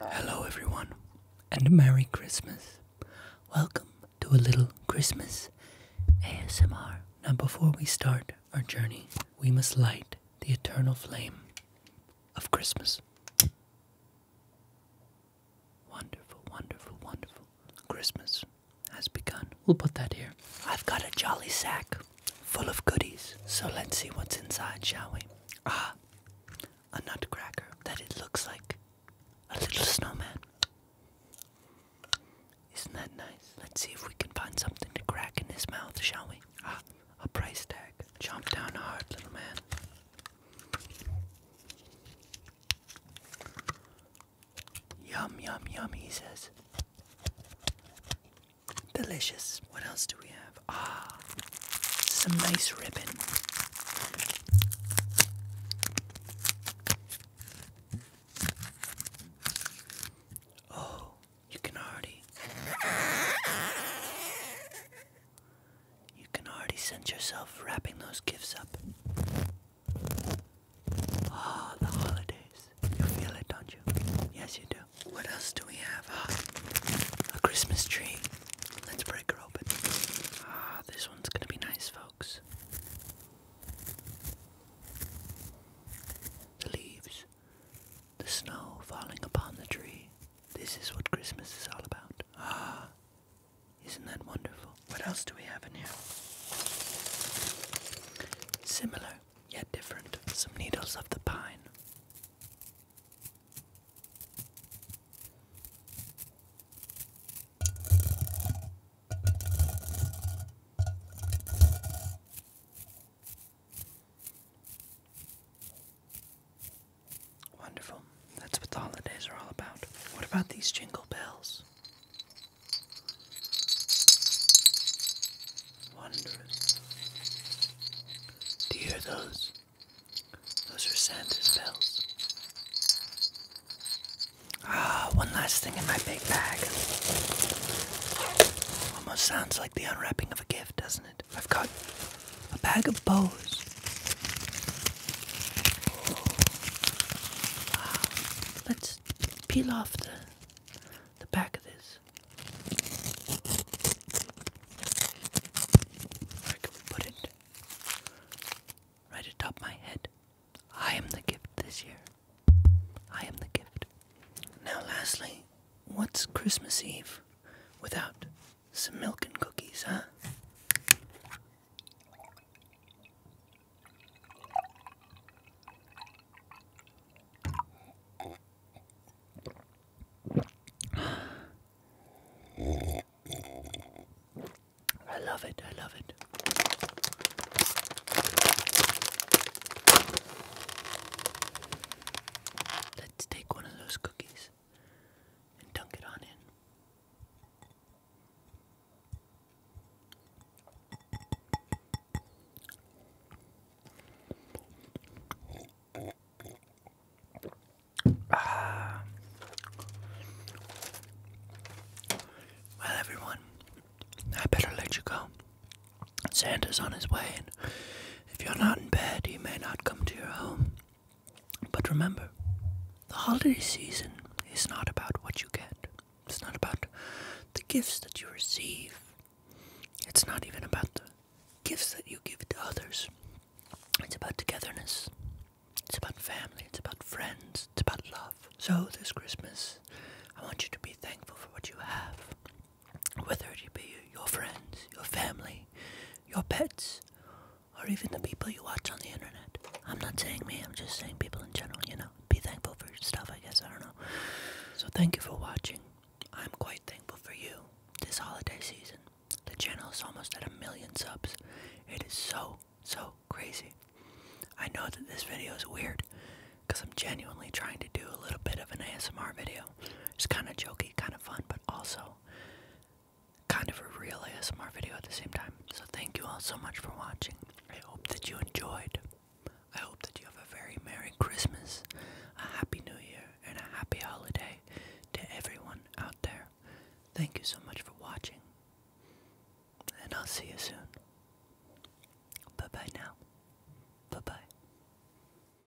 Hello, everyone, and Merry Christmas. Welcome to a little Christmas ASMR. Now, before we start our journey, we must light the eternal flame of Christmas. Wonderful, wonderful, wonderful. Christmas has begun. We'll put that here. I've got a jolly sack full of goodies. So let's see what's inside, shall we? Ah, a nutcracker that it looks like a little snowman. Isn't that nice? Let's see if we can find something to crack in his mouth, shall we? Ah, a price tag. Jump down hard, little man. Yum, yum, yum, he says. Delicious. What else do we have? Ah, some nice ribbon. Oh, you can already. You can already sense yourself wrapping those gifts up. Ah, the holidays. You feel it, don't you? Yes, you do. What else do we have? Ah, a Christmas tree. Let's break it open. Ah, this one's gonna be nice, folks. The leaves, the snow falling upon the tree. This is what Christmas is all about. Ah, isn't that wonderful? What else do we have in here? Similar yet different, some needles of the pine. Wonderful. That's what holidays are all about. What about these jingle bells? Wondrous. Do you hear those? Those are Santa's bells. Ah, one last thing in my big bag. Almost sounds like the unwrapping of a gift, doesn't it? I've got a bag of bows. Let's peel off the the back of this. Where can we put it? Right atop my head. I am the gift this year. I am the gift. Now, lastly, what's Christmas Eve without some milk and cookies, huh? I love it, I love it. Let's take one of those cookies and dunk it on in. Ah. Well, everyone, I better let you go. Santa's on his way, and if you're not in bed, he may not come to your home. But remember, the holiday season is not about what you get, it's not about the gifts that you receive, it's not even about the gifts that you give to others. It's about togetherness, it's about family, it's about friends, it's about love. So this Christmas, I want you to be thankful for what you have, whether it be your friends, your family, your pets, or even the people you watch on the internet. I'm not saying me, I'm just saying people in general, you know. Be thankful for stuff, I guess, I don't know. So thank you for watching. I'm quite thankful for you this holiday season. The channel is almost at a million subs. It is so, so crazy. I know that this video is weird because I'm genuinely trying to do a little bit of an ASMR video. It's kind of jokey, kind of fun, but also kind of a real ASMR video at the same time. So thank you all so much for watching. I hope that you enjoyed. I hope that you have a very Merry Christmas, a Happy New Year, and a Happy Holiday to everyone out there. Thank you so much for watching, and I'll see you soon. Bye bye now. Bye bye.